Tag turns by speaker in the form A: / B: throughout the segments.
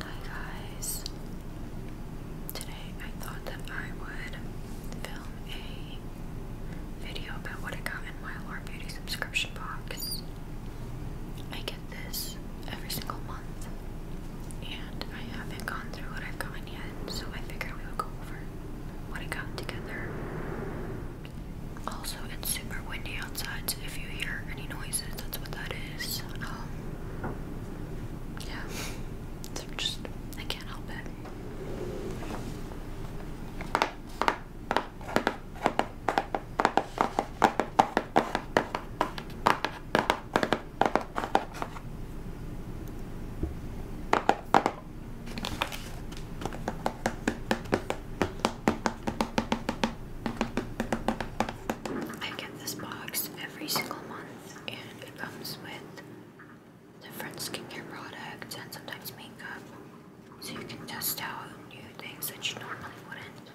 A: Hi guys! Today I thought that I would film a video about what I got in my Allure Beauty subscription box. I get this every single month and I haven't gone through what I've yet, so I figured we would go over what I got together. Also, it's super windy outside, so if you hear any noises, that's what that is. Um, yeah, so just I can't help it. I get this box every single month and it comes with different skincare products and sometimes makeup so you can test out new things that you normally wouldn't.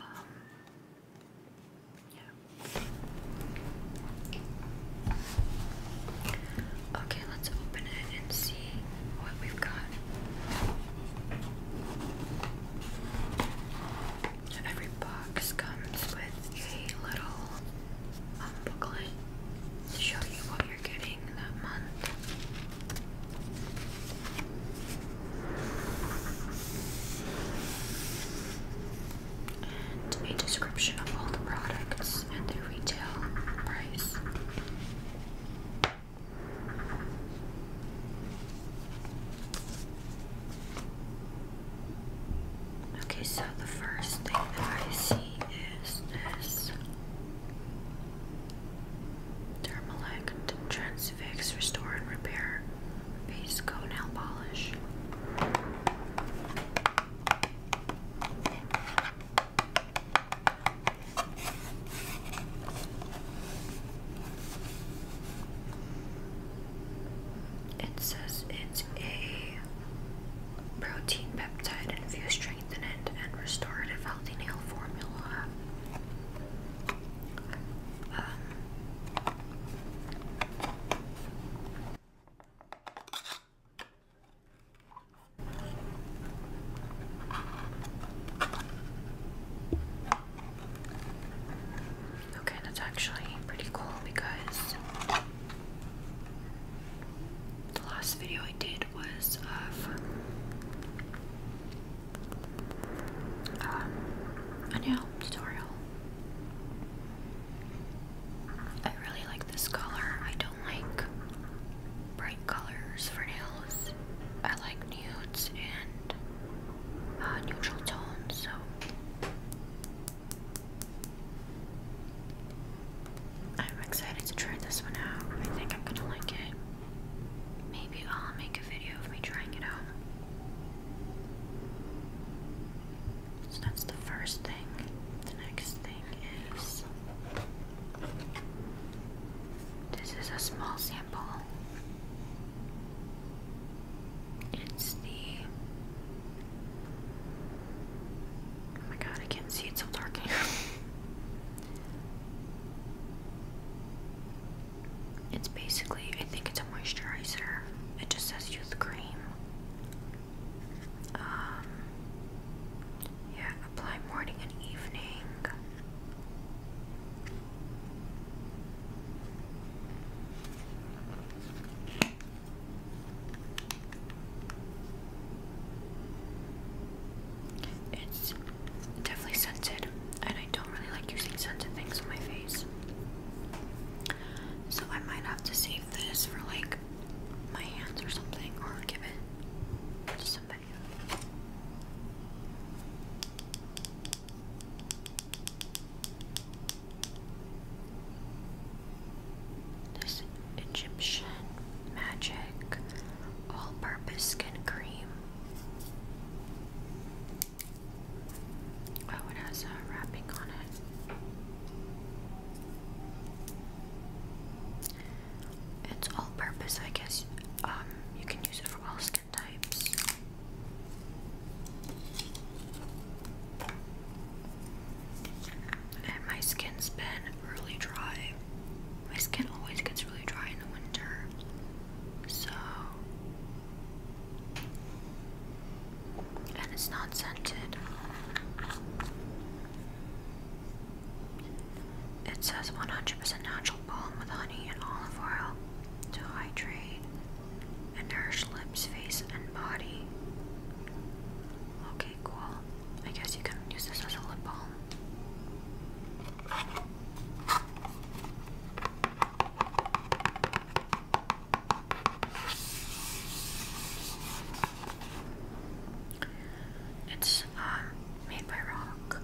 A: Um, yeah. Okay, let's open it and see what we've got. Every box comes with a little um, booklet to show you what you're getting that month. And a description of all the products and their retail price. Okay, so the first thing that I see is this Dermalect Transfix Restore and Repair Base Go Nail Polish. It says it's a protein peptide infused strengthenant and restorative healthy nail formula. Um, Okay, that's actually pretty cool because the last video I did was of um, nail tutorial. I really like this color. I don't like bright colors for nails. I like nudes and uh, neutral tones, so I'm excited to try this one out. I think I'm gonna like it. Maybe I'll make a video of me trying it out. So that's the first thing. The next thing is this is a small sample. It's the. Oh my god, I can't see, it's so dark it's basically, I think it's a moisturizer. It just says youth cream. Um, yeah, Apply morning and evening. It's definitely scented, and I don't really like using scented things on my face. So I might have to save this for like my hands or something, or give it to some this Egyptian Magic All Purpose Skin Cream. Oh, it has a wrapping on it. It's all purpose, I guess. Um, you can use it for all skin types. my skin's been really dry. My skin always gets really dry in the winter. So. And it's not scented. It says 100% natural balm with honey and olive oil to hydrate and nourish lips, face, and body. Okay, cool. I guess you can use this as a lip balm. It's um made by Rock.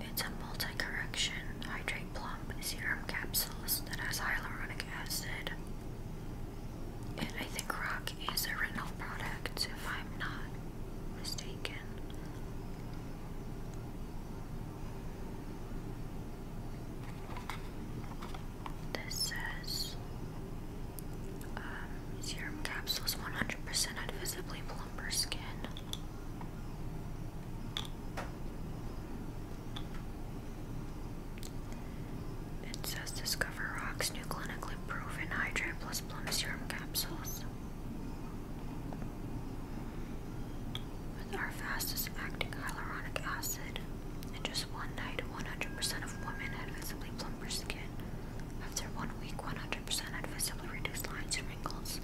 A: It's a multi-correction hydrate plump serum capsules that has hyaluronic acid. And I think Rock is a retinol product, if I'm not mistaken. This says um, serum capsules 100% had visibly skin. It says Discover new clinically proven Hydrate Plus Plum Serum Capsules. With our fastest acting hyaluronic acid, in just one night, 100% of women had visibly plumper skin. After one week, 100% had visibly reduced lines and wrinkles,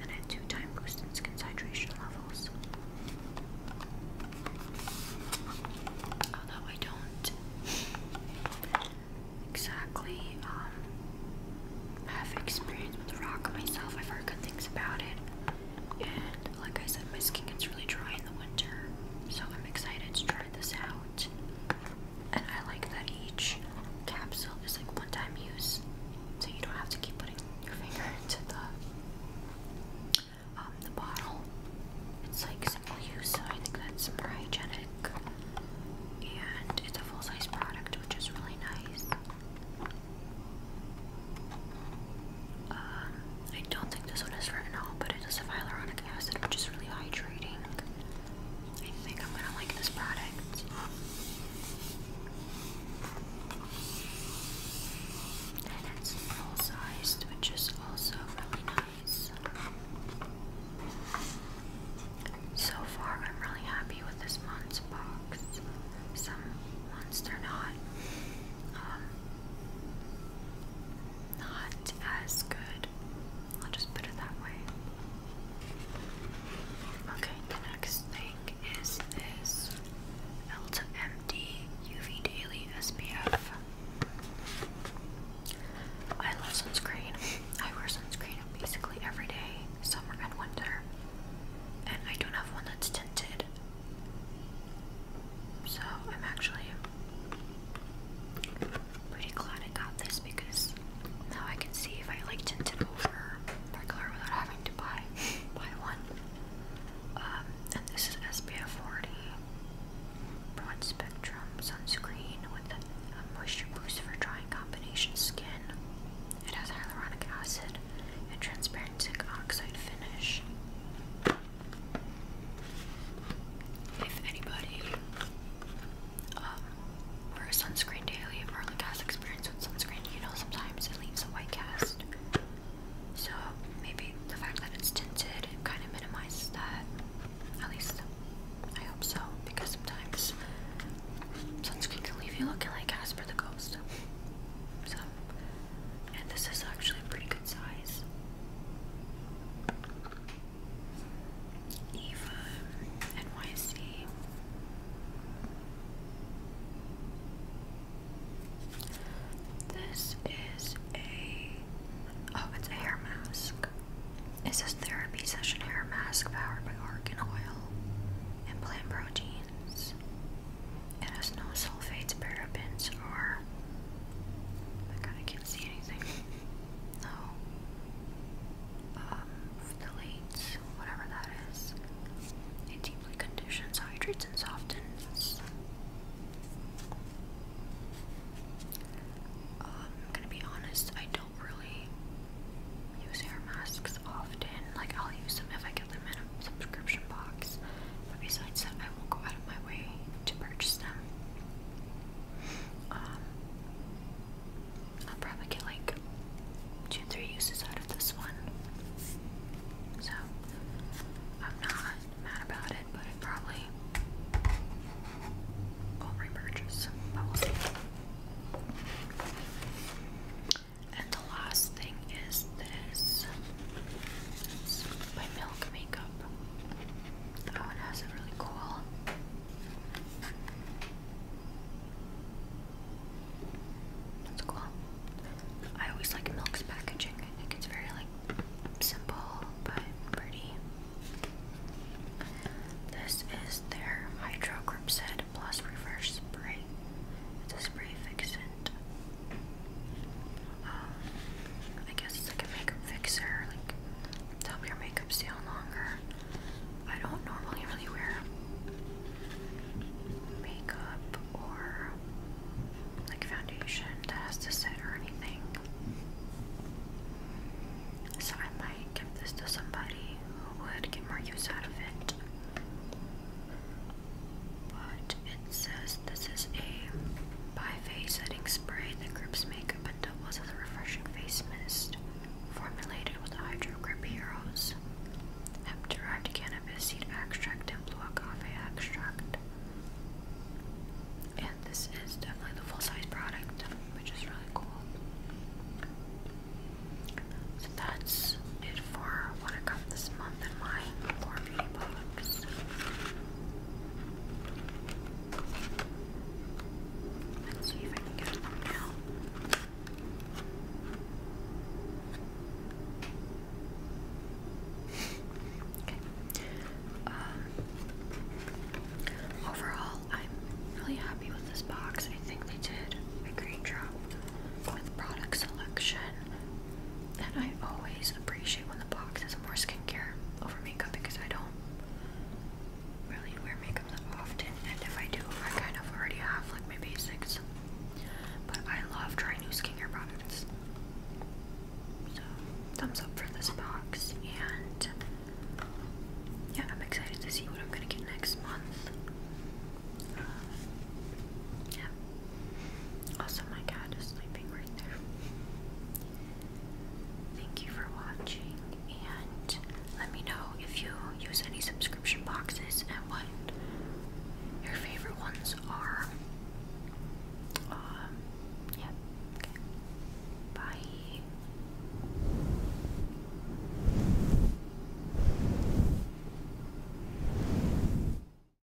A: and a two-time boost in skin hydration levels. Although I don't exactly um, have experience with rock myself, I've heard good things about it, and like I said, my skin gets really dry in the winter, so I'm excited to try this out. And I like that each capsule is like one time use, so you don't have to keep putting your finger into the um the bottle. It's like single use, so I think that's more hygienic. And it's a full size product, which is really nice. Um, I don't this one is retinol, but it is a hyaluronic acid, which is really hydrating. I think I'm gonna like this product. it's full sized, which is also really nice. So far, I'm really happy with this month's box. Some months they're not. Um, not as good. I'll just put it that way. Okay, the next thing is this L to MD Daily SPF. love sunscreen. I wear sunscreen basically every day, summer and winter. And I don't have one that's tinted. So I'm actually Pretty glad I got this because now I can see if I like tinted over regular without having to buy buy one. Um, and this is SPF 40 broad spectrum sunscreen with a moisture boost for drying combination skin. It has hyaluronic acid and transparent zinc oxide finish if anybody um, wears sunscreen daily or like has experience with sunscreen, you know sometimes it leaves a white cast. So maybe the fact that it's tinted it kind of minimizes that. At least I hope so, because sometimes sunscreen can leave you looking like Casper the Ghost. So, and this is actually pretty good. Eva NYC. This is a oh, it's a hair mask. It says therapy session hair mask powered by argan oil and plant proteins. It has no sulfates, parabens, or see anything. No. Um, phthalates, whatever that is. It deeply conditions, hydrates, and softens. Um, i gonna be honest, I don't really use hair masks often. Like, I'll use them if I get them in a subscription box. But besides that, I won't go out my way to purchase them. Um, i probably get like two, three uses out of this one. So I'm not mad about it, but I probably will repurchase. But we'll see. And the last thing is this. by Milk Makeup. Oh, it has a really cool that's cool. I always like Milk's packaging. I think it's very like simple but pretty. This is their Hydro Grip Set Plus Reverse Spray. It's a spray fixant um, I guess it's like a makeup fixer, like to help your makeup stay on longer. I don't normally really wear makeup or like foundation that has to sit or anything. So I might give this to somebody who would get more use out of it. But it says this is a biphase setting spray that grips makeup and doubles as a refreshing face mist, formulated with hydrogrip heroes, hemp-derived cannabis seed extract, and blue agave extract. And this is definitely the full-size product, which is really cool. So that's it for what I got this month in my I um, overall, I'm really happy with this box. I think they did a great job with product selection, and I always appreciate Shape the Box is more skincare over makeup because I don't really wear makeup that often, and if I do, I kind of already have like my basics. But I love trying new skincare products. So, thumbs up for this box, and yeah, I'm excited to see what I'm gonna get next month. Uh, yeah, also, my cat is sleeping right there. Thank you for watching, and let me know if you use any subscription boxes and what your favorite ones are. Um, yeah. Okay. Bye.